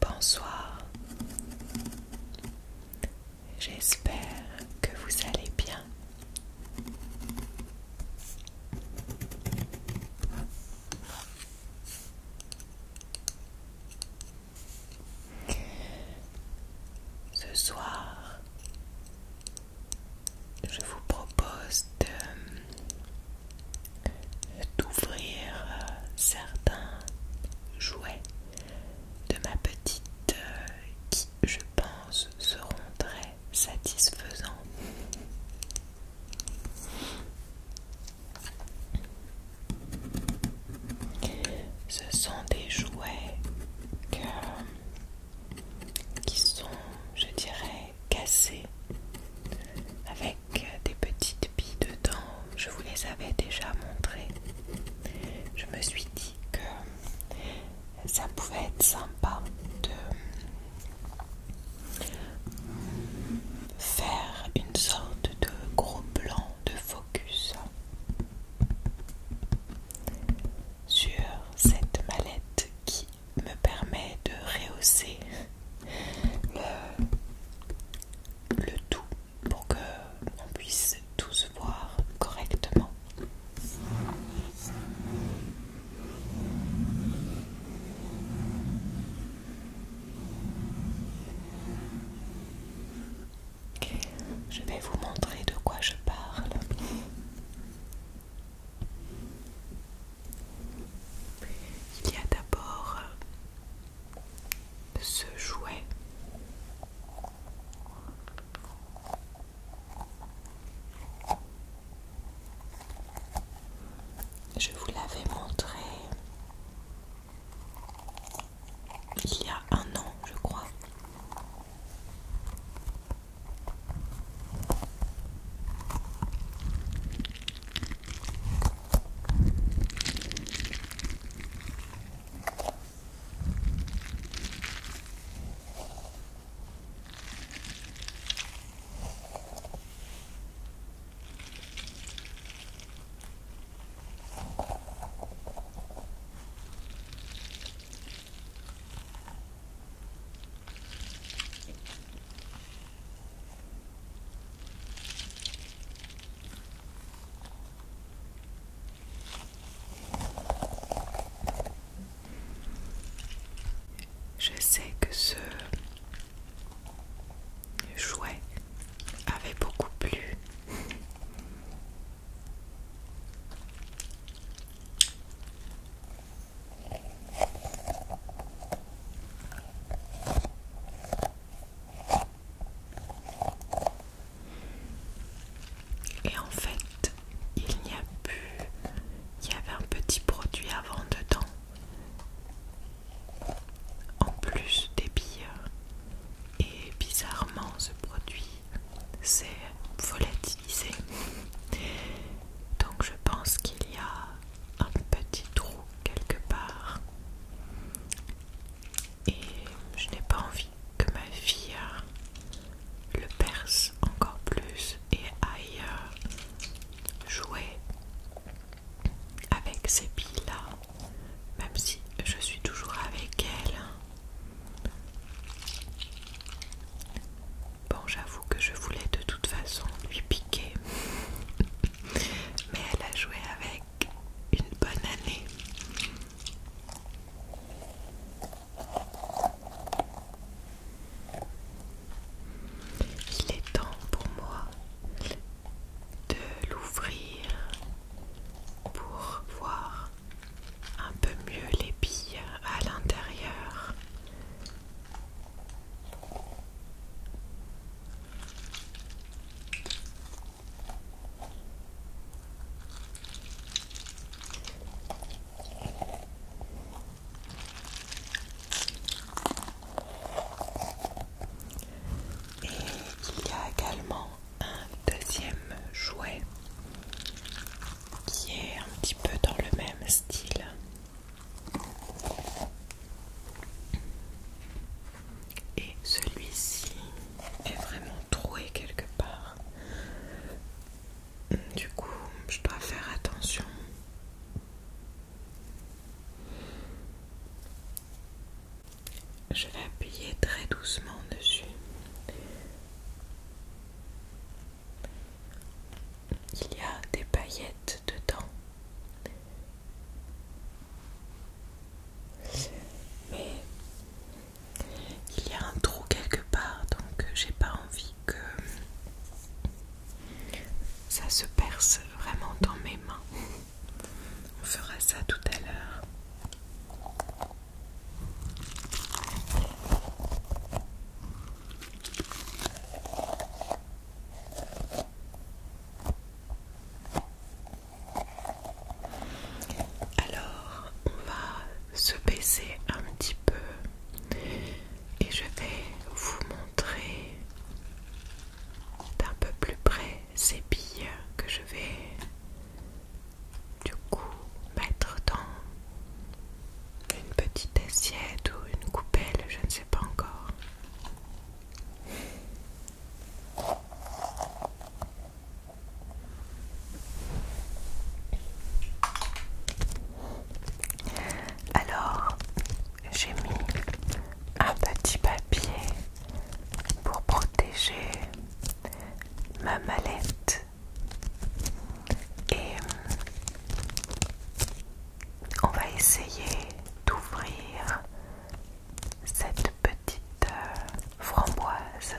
Bonsoir. J'espère que vous allez bien. Ce soir, je vous propose euh, d'ouvrir euh, certains jouets de ma petite euh, qui, je pense, seront très satisfaisants. Ce sont des jouets qui sont, je dirais, cassés avec des petites billes dedans. Je vous les avais déjà montrées. Je me suis dit que ça pouvait être sympa de faire une sorte de gros blanc de focus sur cette mallette qui me permet de rehausser le, tout pour que l'on puisse tous voir correctement. Je vais vous montrer de quoi je parle. Il y a d'abord euh, ce jouet. Je vous l'avais montré il y a un an, je crois. Je sais que ce jouet avait beaucoup plu. Et en fait, il n'y a plus. Il y avait un petit produit avant dedans en plus des billes. Et bizarrement, ce produit s'est volatilisé. Donc je pense qu'il y a un petit trou quelque part. Et je n'ai pas envie que ma fille le perce encore plus et aille jouer avec ces billes-là même si je suis toujours avec elle. Bon, j'avoue que je voulais de toute façon lui piquer, mais elle a joué avec une bonne année. Il est temps pour moi de l'ouvrir pour voir un peu mieux les billes à l'intérieur. Et il y a également un deuxième jouet qui est un petit peu dans le même style. Et celui-ci est vraiment troué quelque part. Du coup, je dois faire attention. Je vais appuyer très doucement dessus. Il y a des paillettes dedans. Mais il y a un trou quelque part, donc j'ai pas envie que ça se perce vraiment dans mes mains. On fera ça tout à l'heure. Alors, on va se baisser un petit peu et je vais vous montrer d'un peu plus près ces billes que je vais du coup mettre dans une petite assiette ou une coupelle, je ne sais pas encore. Alors, j'ai mis un petit papier pour protéger ma mallette et euh, on va essayer d'ouvrir cette petite euh, framboise.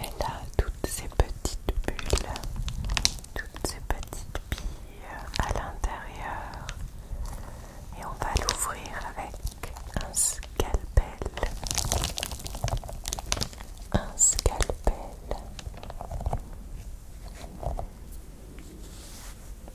Elle a toutes ces petites bulles, toutes ces petites billes à l'intérieur. Et on va l'ouvrir avec un scalpel. Un scalpel.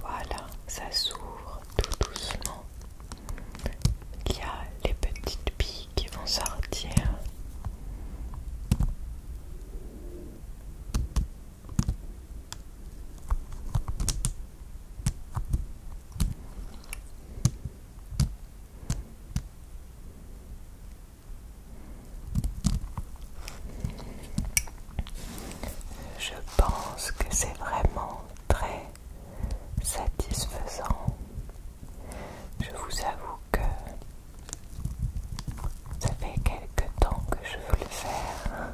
Voilà, ça s'ouvre tout doucement. Il y a les petites billes qui vont sortir. Je pense que c'est vraiment très satisfaisant. Je vous avoue que ça fait quelque temps que je veux le faire.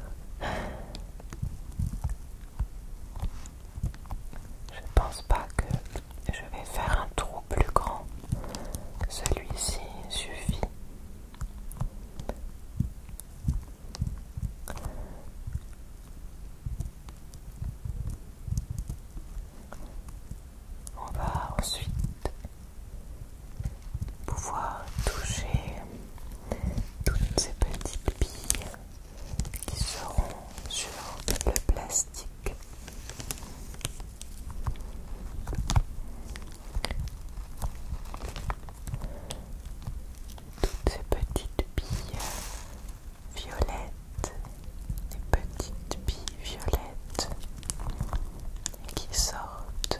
Je ne pense pas que je vais faire un trou plus grand. Celui-ci suffit. On va ensuite pouvoir toucher toutes ces petites billes qui seront sur le plastique. Toutes ces petites billes violettes, Les petites billes violettes qui sortent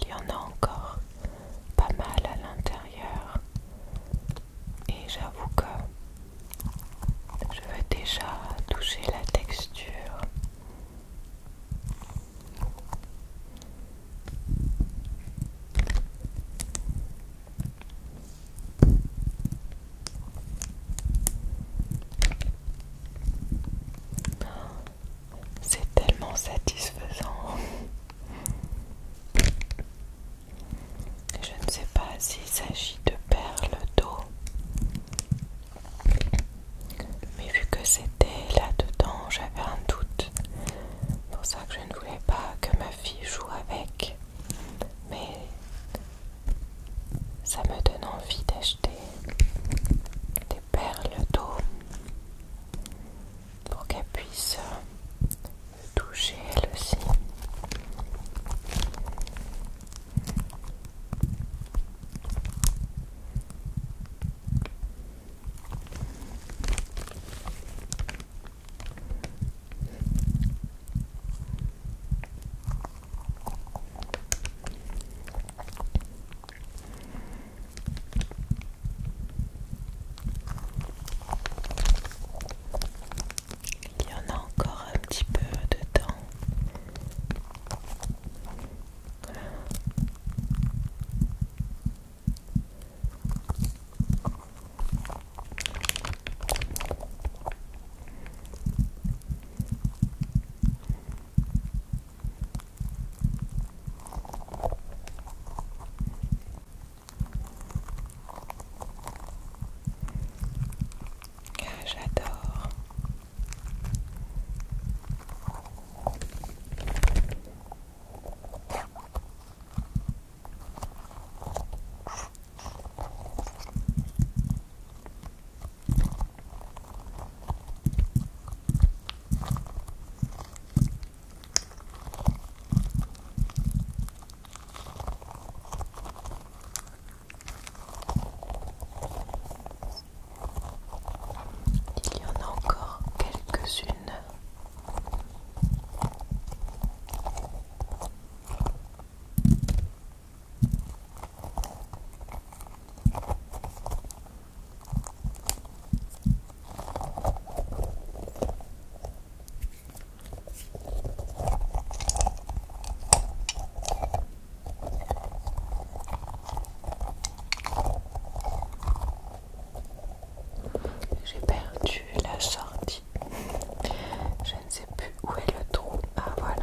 Il y en a encore pas mal à l'intérieur et j'avoue que je veux déjà toucher la texture. C'est tellement satisfaisant. Je ne sais pas s'il s'agit de perles d'eau, mais vu que c'était là-dedans, j'avais un doute. C'est pour ça que je ne voulais pas que ma fille joue avec. Mais ça me donne envie d'acheter des perles d'eau pour qu'elle puisse me toucher elle aussi. Il y en a encore un petit peu dedans. Ah, j'adore. Il y en a encore quelques-unes. J'ai perdu la sortie. Je ne sais plus où est le trou. Ah voilà.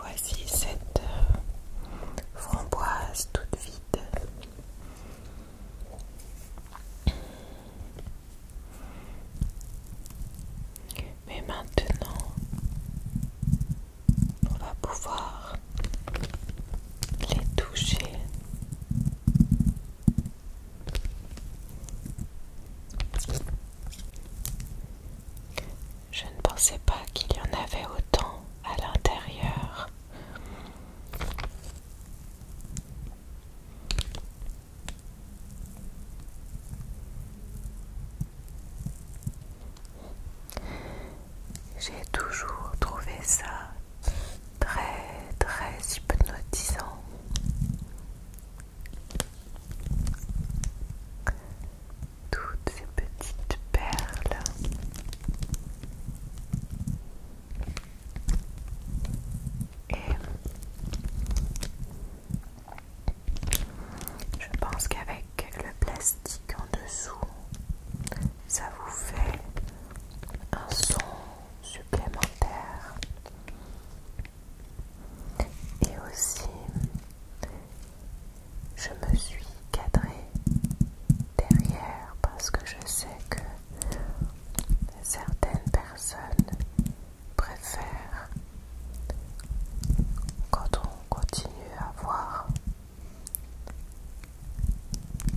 voici cette euh, framboise toute vide. Mais maintenant, on va pouvoir les toucher je ne pensais pas qu'il y en avait autant à l'intérieur. J'ai toujours trouvé ça très très hypnotisant toutes ces petites perles. Et je pense qu'avec le plastique en dessous, ça vous fait un son supplémentaire et aussi, je me suis cadrée derrière parce que je sais que certaines personnes préfèrent quand on continue à voir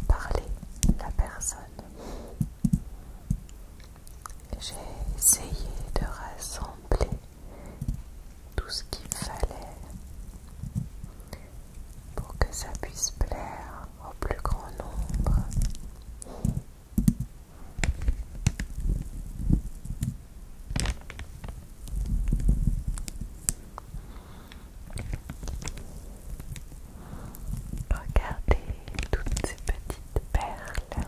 parler la personne. J'ai essayé de rassembler tout ce qu'il fallait pour que ça puisse plaire au plus grand nombre. Regardez toutes ces petites perles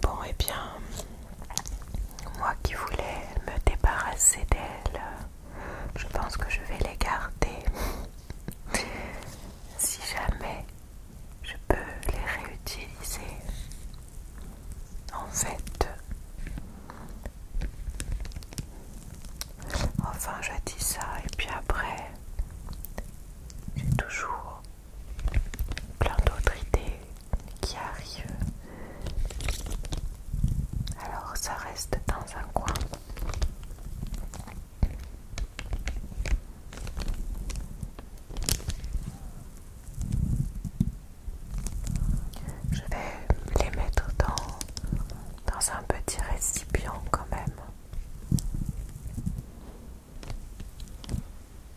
Bon, et eh bien, moi qui voulais me débarrasser d'elles, je pense que je vais les garder. si jamais je peux les réutiliser. En fait, enfin je dis ça et puis après, j'ai toujours plein d'autres idées qui arrive. Alors ça reste dans un coin. Je vais les mettre dans, dans un petit récipient quand même.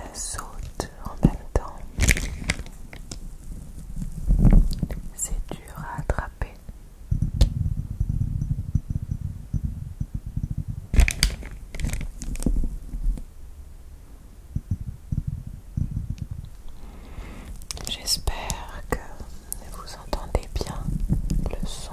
Elle saute en même temps. C'est dur à attraper. J'espère que vous entendez bien le son.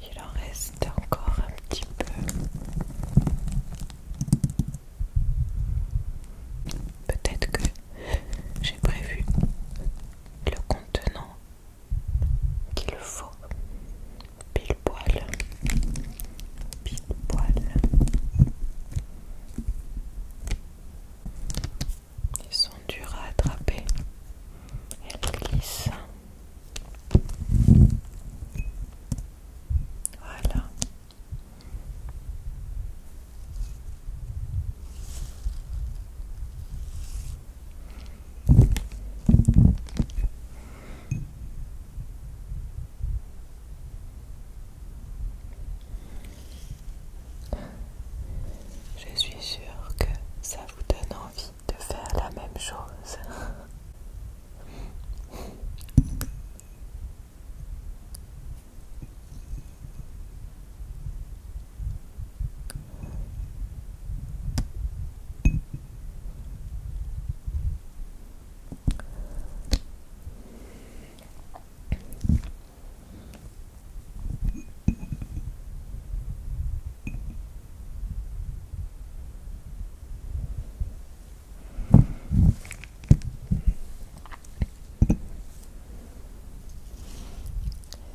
Il en reste encore un petit peu. Peut-être que j'ai prévu le contenant qu'il faut. Pile poil. Pile poil. Ils sont durs à attraper. Elles glissent. Voilà. Je suis sûr que ça vous donne envie de faire la même chose.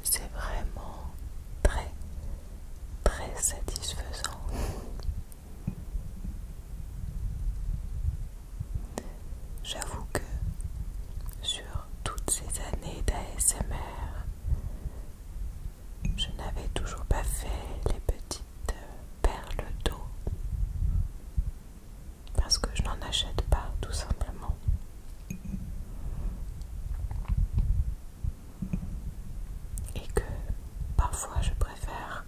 C'est vraiment très très satisfaisant. J'avoue que sur toutes ces années d'ASMR, je n'avais toujours pas fait les petites perles d'eau parce que je n'en achète pas tout simplement. Et que parfois je préfère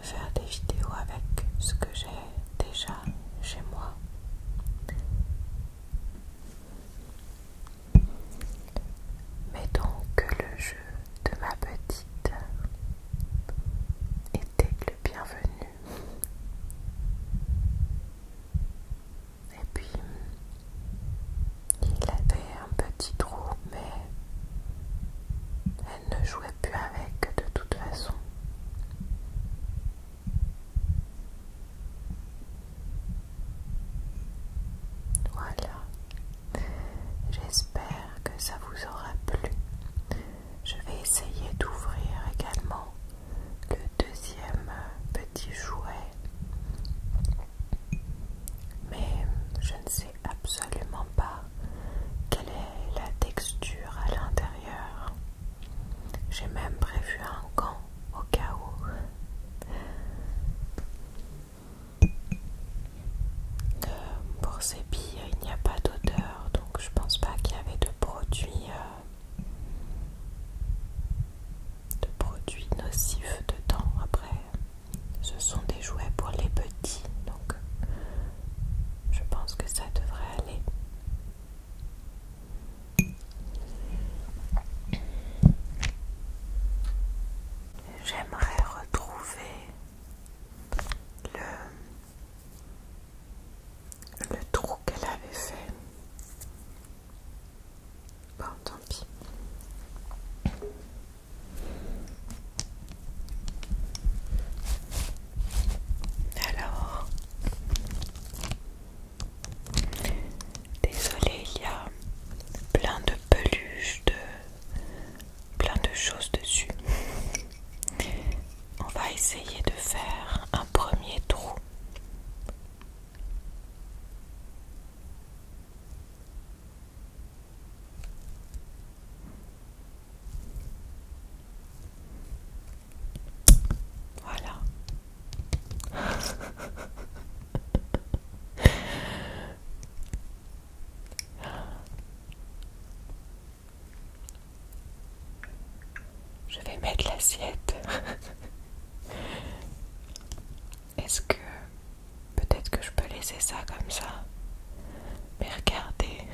faire des vidéos avec ce que j'ai déjà chez moi. Mais donc le jeu de ma petite était le bienvenu. Et puis, il avait un petit trou, mais elle ne jouait plus avec de toute façon. Voilà. J'espère que ça vous aura plu. Je vais essayer d'ouvrir également le deuxième petit jouet. Mais je ne sais absolument pas quelle est la texture à l'intérieur. J'ai même prévu un gant, au cas où. Euh, pour ces billes, il n'y a pas d'odeur, donc je pense pas qu'il y avait de produits, euh, de produits nocifs dedans. Après, ce sont des jouets pour les petits, donc je pense que ça devrait aller. J'aimerais retrouver le, le trou qu'elle avait fait. Bon, tant pis. Alors, désolé, il y a plein de peluches, de plein de choses dessus. On va essayer de faire un premier trou. Voilà. Je vais mettre l'assiette. Est-ce que peut-être que je peux laisser ça comme ça Mais regardez.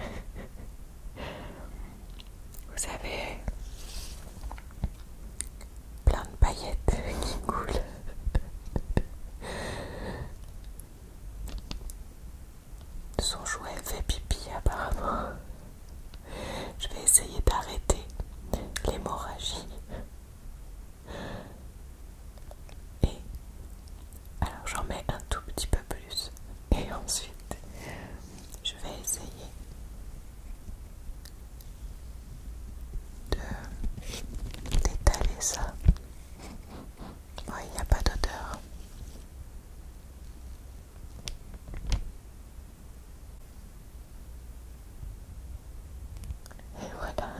Vous avez plein de paillettes qui coulent. Son jouet fait pipi apparemment. Je vais essayer d'arrêter l'hémorragie. Et alors j'en mets un tout petit peu plus et ensuite je vais essayer de d'étaler ça. il n'y a pas d'odeur. Et voilà.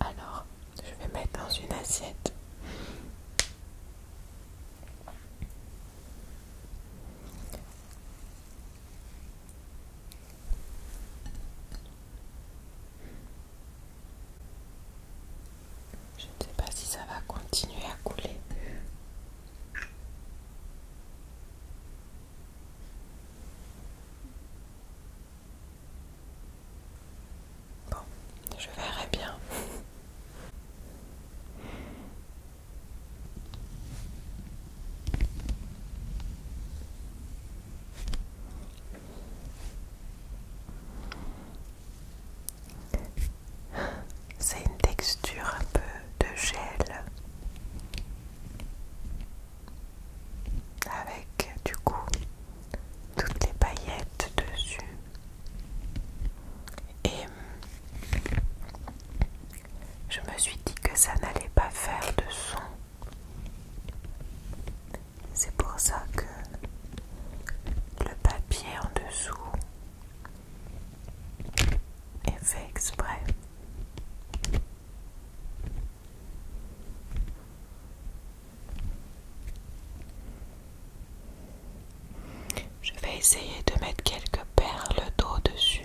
Alors, je vais mettre dans une assiette. Je ne sais pas si ça va continuer à couler. Bon, je verrai bien. C'est une texture un peu de gel avec du coup toutes les paillettes dessus. Et euh, je me suis dit que ça n'allait pas faire de son. C'est pour ça que le papier en dessous est fait exprès. Je vais essayer de mettre quelques perles d'eau dessus.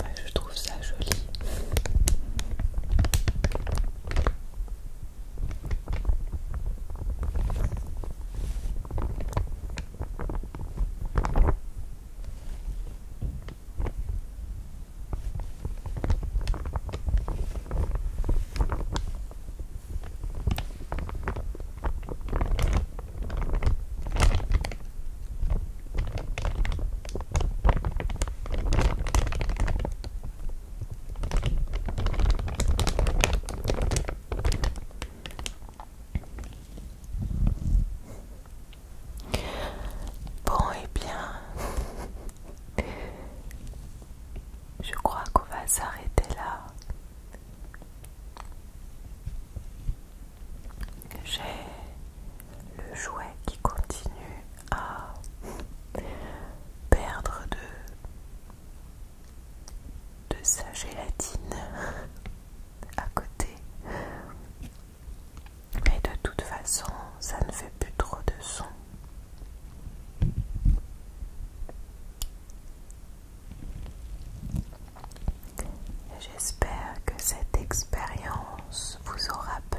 Bah, je trouve ça joli. Bon et eh bien je crois qu'on va s'arrêter là. J'ai le jouet qui continue à perdre de, de sa gélatine à côté. Mais de toute façon, ça ne fait plus trop de son. J'espère que cette expérience vous aura plu.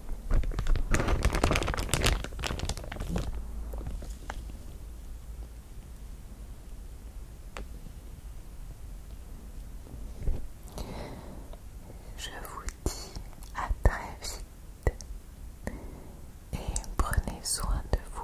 Je vous dis à très vite et prenez soin de vous.